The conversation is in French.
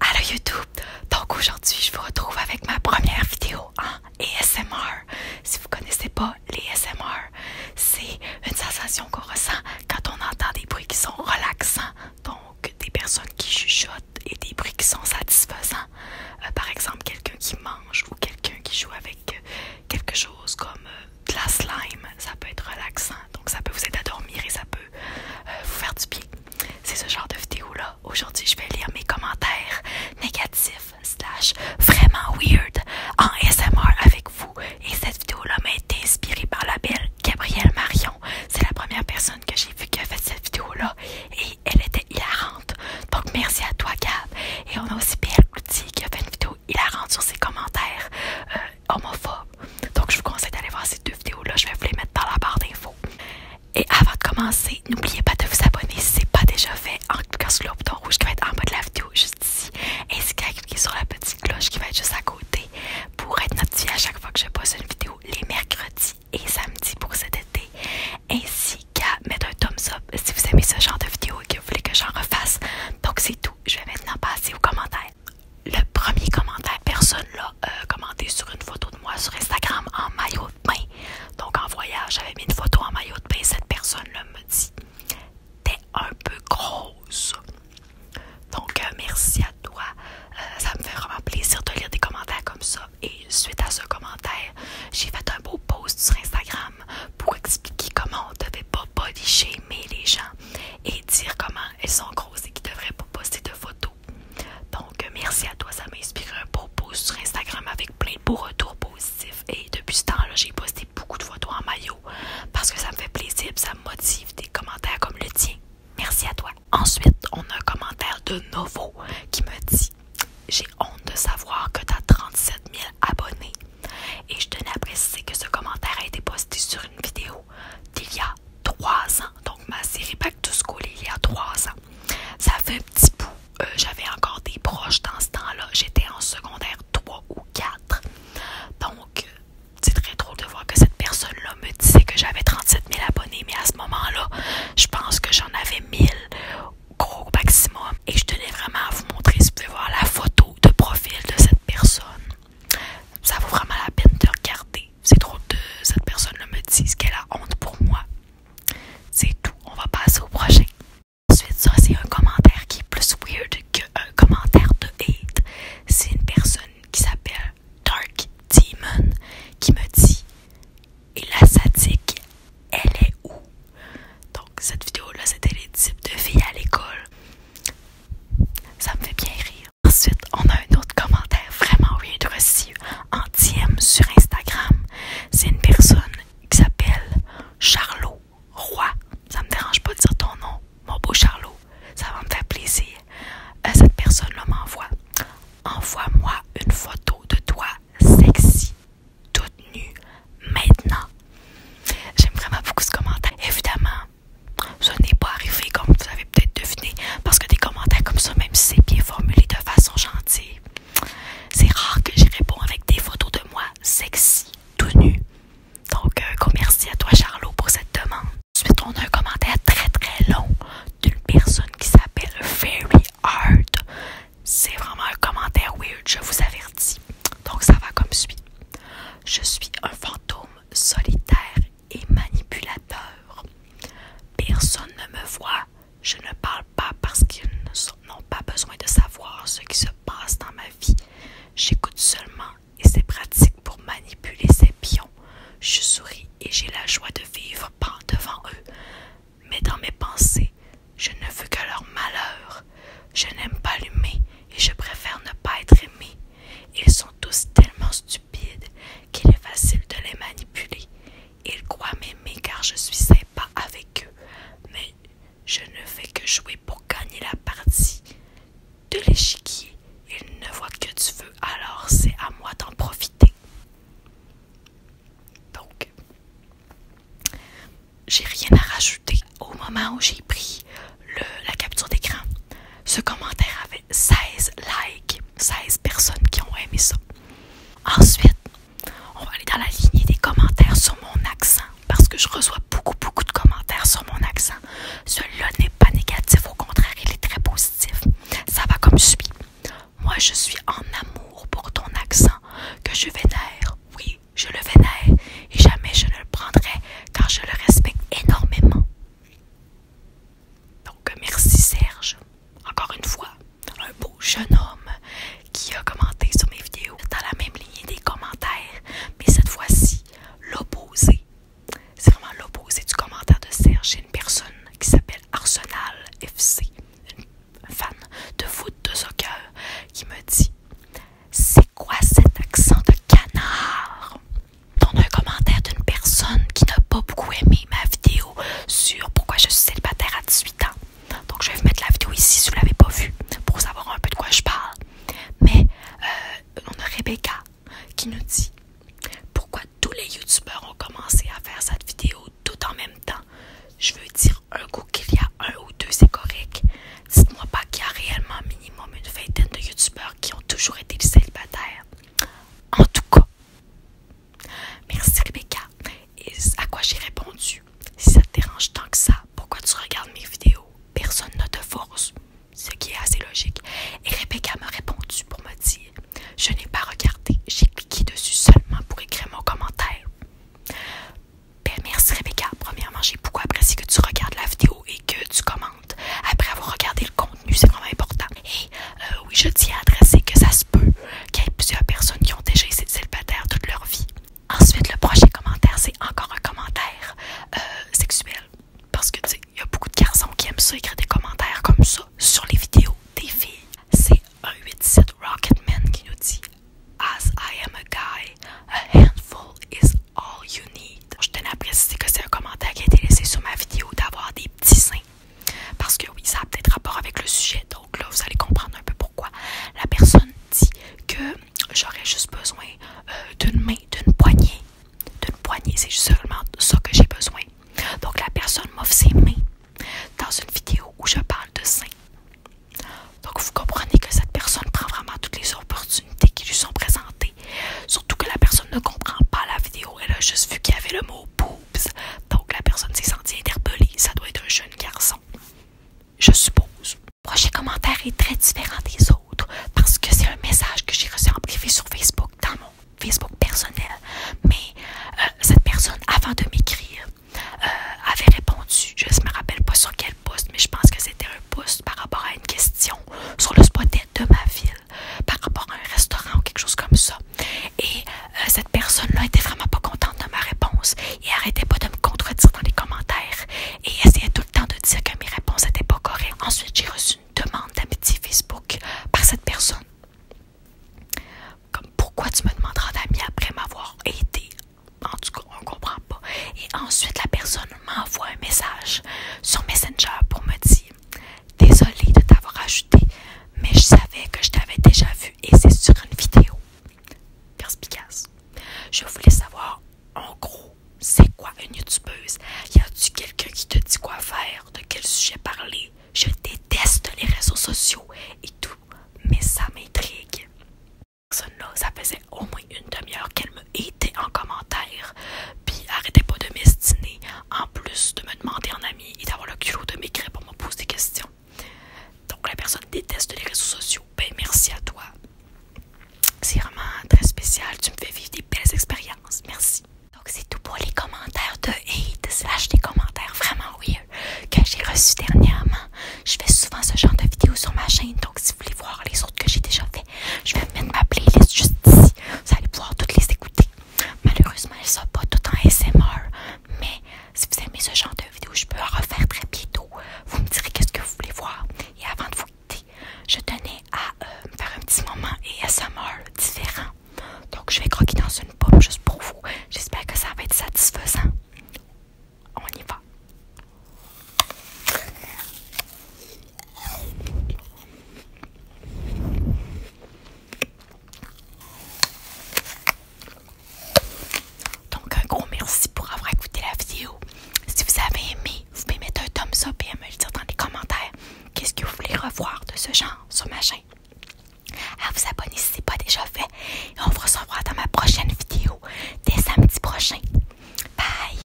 Allo YouTube! Donc aujourd'hui, je vous retrouve avec ma première vidéo en ASMR. Si vous connaissez pas les ASMR, c'est une sensation qu'on ressent quand on entend des bruits qui sont relaxants, donc des personnes qui chuchotent et des bruits qui sont satisfaisants. Euh, par exemple, quelqu'un qui mange ou quelqu'un qui joue avec euh, quelque chose comme glass euh, de la slime, ça peut être relaxant, donc ça peut vous aider à dormir et ça peut vous faire du bien. C'est ce genre de vidéo-là. Aujourd'hui, je vais lire mes commentaires négatifs, slash, vraiment weird, en SMR avec vous. Et cette vidéo-là m'a été inspirée par la belle Gabrielle Marion. C'est la première personne que j'ai vue qui a fait cette vidéo-là. Et elle était hilarante. Donc, merci à toi, Gab. Et on a aussi Pierre Cloutier qui a fait une vidéo hilarante sur ses commentaires euh, homophobes. Donc, je vous conseille d'aller voir ces deux vidéos-là. Je vais vous les mettre dans la barre d'infos. Et avant de commencer, n'oubliez pas de vous abonner si ce n'est pas déjà fait en cliquant sur le bouton rouge qui va être en bas de la vidéo juste ici, ainsi qu'à cliquer sur la petite cloche qui va être juste à côté pour être notifié à chaque fois que je poste une vidéo les mercredis et samedis pour cet été, ainsi qu'à mettre un thumbs up si vous aimez ce genre de vidéo et que vous voulez que j'en refasse. Donc c'est tout, je vais maintenant passer aux commentaires. Le premier commentaire, personne l'a euh, commenté sur une photo de moi sur Instagram en maillot de bain. Donc en voyage, j'avais mis une photo en maillot de bain. Cette personne-là me dit T'es un peu grosse. Donc euh, merci à toi. Euh, ça me fait vraiment plaisir de lire des commentaires comme ça. Et suite à ce commentaire, j'ai fait un beau post sur Instagram pour expliquer comment on ne devait pas body mais les gens et dire comment elles sont grosses et qu'ils ne devraient pas poster de photos donc, merci à toi, ça m'a inspiré un beau pouce sur Instagram avec plein de beaux retours positifs. Et depuis ce temps-là, j'ai posté beaucoup de photos en maillot parce que ça me fait plaisir ça me motive des commentaires comme le tien. Merci à toi. Ensuite, on a un commentaire de Novo qui me dit J'ai honte de savoir que tu as 37 000 abonnés. Et je tenais à préciser que ce commentaire a été posté sur une vidéo d'il y a 3 ans. Donc ma série Back to School il y a 3 ans. Ça fait un petit bout. Euh, j'avais encore des proches dans ce temps-là. J'étais en secondaire 3 ou 4. Donc euh, c'est très drôle de voir que cette personne-là me disait que j'avais 37 000 abonnés, mais à ce moment-là, je pense que j'en avais 1000 gros maximum. Et je tenais vraiment à vous montrer, si vous pouvez voir la photo de profil de cette personne. Ça vaut vraiment la peine de regarder. C'est trop que cette personne-là me dise qu'elle a honte pour moi. C'est tout, on va passer au prochain. Ensuite, ça, c'est un commentaire qui est plus weird qu'un commentaire de hate. C'est une personne qui s'appelle Dark Demon qui me dit Et la sadique, elle est où Donc, cette vidéo-là, c'était les types de filles à l'école. Ça me fait bien rire. Ensuite, on a un autre commentaire vraiment de reçu en sur Instagram. C'est une personne qui s'appelle Charlot Roy. Ça me dérange pas de dire ton nom, mon beau Charlot. Ça va me faire plaisir. Euh, cette personne-là m'envoie. Envoie-moi une photo de toi sexy, toute nue, maintenant. J'aime vraiment beaucoup ce commentaire. Évidemment, ce n'est pas arrivé comme vous avez peut-être deviné, parce que des commentaires comme ça, même si c'est bien formulé de façon gentille, c'est rare que j'y réponds avec des photos de moi sexy, tout nu. Donc, euh, merci à toi, Charlot, pour cette demande. Ensuite, on a un commentaire très très long d'une personne qui s'appelle Fairy Heart. C'est vraiment un commentaire weird, je vous avertis. Donc, ça va comme suit. Je suis un fantôme solitaire et manipulateur. Personne ne me voit. Je ne parle pas parce qu'ils n'ont pas besoin de savoir ce qui se passe dans ma vie. J'écoute seulement et c'est pratique pour manipuler ces pions. Je souris et j'ai la joie de vivre devant eux. Mais dans mes pensées, je ne veux que leur malheur. Je n'aime pas l'humain et je préfère ne pas être aimé. Ils sont tous tellement stupides qu'il est facile de les manipuler. Ils croient m'aimer car je suis sympa avec eux, mais je ne fais que jouer pour gagner la partie. De l'échiquier, ils ne voient que du feu, alors c'est à moi d'en profiter. Donc, j'ai rien à rajouter au moment où j'ai pris la capture d'écran. Ce commentaire avait 16 likes, 16 personnes qui ont aimé ça. Ensuite, on va aller dans la lignée des commentaires sur mon accent parce que je reçois beaucoup, beaucoup de commentaires sur mon accent. Celui-là n'est pas négatif, au contraire, il est très positif. Ça va comme suit. Moi, je suis en amour pour ton accent que je vénère. Oui, je le vénère et jamais je ne le prendrai car je le respecte énormément. Donc, euh, merci Serge, encore une fois, un beau jeune homme qui a commenté sur mes vidéos dans la même ligne des commentaires, mais cette fois-ci, l'opposé. C'est vraiment l'opposé du commentaire de Serge. C'est une personne qui s'appelle Arsenal FC, une fan de foot de soccer, qui me dit C'est quoi cet accent de canard on un commentaire d'une personne qui n'a pas beaucoup aimé ma vidéo sur pourquoi je suis célibataire à 18 ans. Donc je vais vous mettre la vidéo ici si vous ne l'avez pas vue pour savoir un peu de quoi je parle. Mais euh, on a Rebecca qui nous dit pourquoi tous les youtubeurs ont commencé à faire cette vidéo tout en même temps. Je veux dire un coup qu'il y a un ou deux, c'est correct. Dites-moi pas qu'il y a réellement minimum une vingtaine de youtubeurs qui ont toujours été célibataires. En tout cas, Merci Rebecca. Et à quoi j'ai répondu Si ça te dérange tant que ça, pourquoi tu regardes mes vidéos Personne ne te force. Ce qui est assez logique. Et Rebecca m'a répondu pour me dire Je n'ai pas regardé, j'ai cliqué dessus seulement pour écrire mon commentaire. Ben, merci Rebecca. Premièrement, j'ai beaucoup apprécié que tu regardes la vidéo et que tu commentes après avoir regardé le contenu, c'est vraiment important. Euh, oui, je tiens à adresser que ça se peut qu'il y ait plusieurs personnes qui ont déjà été célibataires toute leur vie. Ensuite, le prochain commentaire, c'est encore un commentaire euh, sexuel. Parce que, tu sais, il y a beaucoup de garçons qui aiment ça, écrire des commentaires comme ça sur les vidéos des filles. C'est un A87 Rocketman qui nous dit As I am a guy, a handful is all you need. Je tenais à préciser que c'est un commentaire qui a été laissé sur ma vidéo d'avoir des petits seins. Parce que oui, ça a peut-être rapport avec le sujet, donc là vous allez comprendre un peu pourquoi. La personne dit que j'aurais juste besoin euh, d'une main, d'une poignée. D'une poignée, c'est seulement ça que j'ai besoin. Donc la personne m'offre ses mains dans une vidéo où je parle de seins. Donc vous comprenez que cette personne prend vraiment toutes les opportunités qui lui sont présentées. Surtout que la personne ne comprend pas la vidéo, elle a juste vu qu'il y avait le mot pour donc la personne s'est sentie interpellée. Ça doit être un jeune garçon. Je suppose. prochain commentaire est très différent des autres parce que c'est un message que j'ai reçu en privé sur Facebook, dans mon Facebook personnel. Mais euh, cette personne, avant de m'écrire, euh, avait répondu, je ne me rappelle pas sur quel poste, mais je pense que c'était un poste par rapport à une question sur le spot de ma ville par rapport à un restaurant ou quelque chose comme ça. Et euh, cette personne-là était vraiment pas contente de ma réponse et arrêtait pas de me contredire dans les commentaires et essayait tout le temps de dire que mes réponses n'étaient pas correctes. Ensuite, j'ai reçu une demande d'amitié Facebook par cette personne. Comme pourquoi tu me demanderas d'amis après m'avoir aidé En tout cas, on comprend pas. Et ensuite, la personne m'envoie un message sur Messenger pour me dire Désolée de t'avoir ajouté, mais je savais que je t'avais déjà vu et c'est sur une vidéo. Perspicace. Je voulais savoir, en gros, c'est quoi une youtubeuse? Y a-tu quelqu'un qui te dit quoi faire? De quel sujet parler? Je déteste les réseaux sociaux et tout, mais ça m'intrigue. Personne-là, ça faisait au moins une demi-heure qu'elle me était en commentaire, puis arrêtait pas de m'estiner en plus de me demander en ami et d'avoir le culot de m'écrire pour me poser des questions. Donc la personne déteste les réseaux sociaux. Ben merci à toi. C'est vraiment très spécial. Tu me fais vivre des belles expériences. Merci. Donc c'est tout pour les commentaires de hate slash des commentaires vraiment weird que j'ai reçus dernièrement. Je fais souvent ce genre de vidéos sur ma chaîne. Donc si vous voulez voir les autres que j'ai déjà fait, je vais mettre ma playlist juste ici. Vous allez pouvoir toutes les écouter. Malheureusement, elle ne sont pas tout en SMR, mais si vous aimez ce genre de vidéo, je peux en refaire très bientôt. Vous me direz qu'est-ce que vous voulez voir. Et avant de vous quitter, je tenais à euh, faire un petit moment et SMR différent. Donc, je vais croquer dans une pomme juste pour vous. J'espère que ça va être satisfaisant. On y va. Donc, un gros merci pour avoir écouté la vidéo. Si vous avez aimé, vous pouvez mettre un thumbs up et me le dire dans les commentaires. Qu'est-ce que vous voulez revoir de ce genre sur ma chaîne? À vous abonner si ce n'est pas déjà fait. Et on vous se dans ma prochaine vidéo dès samedi prochain. Bye!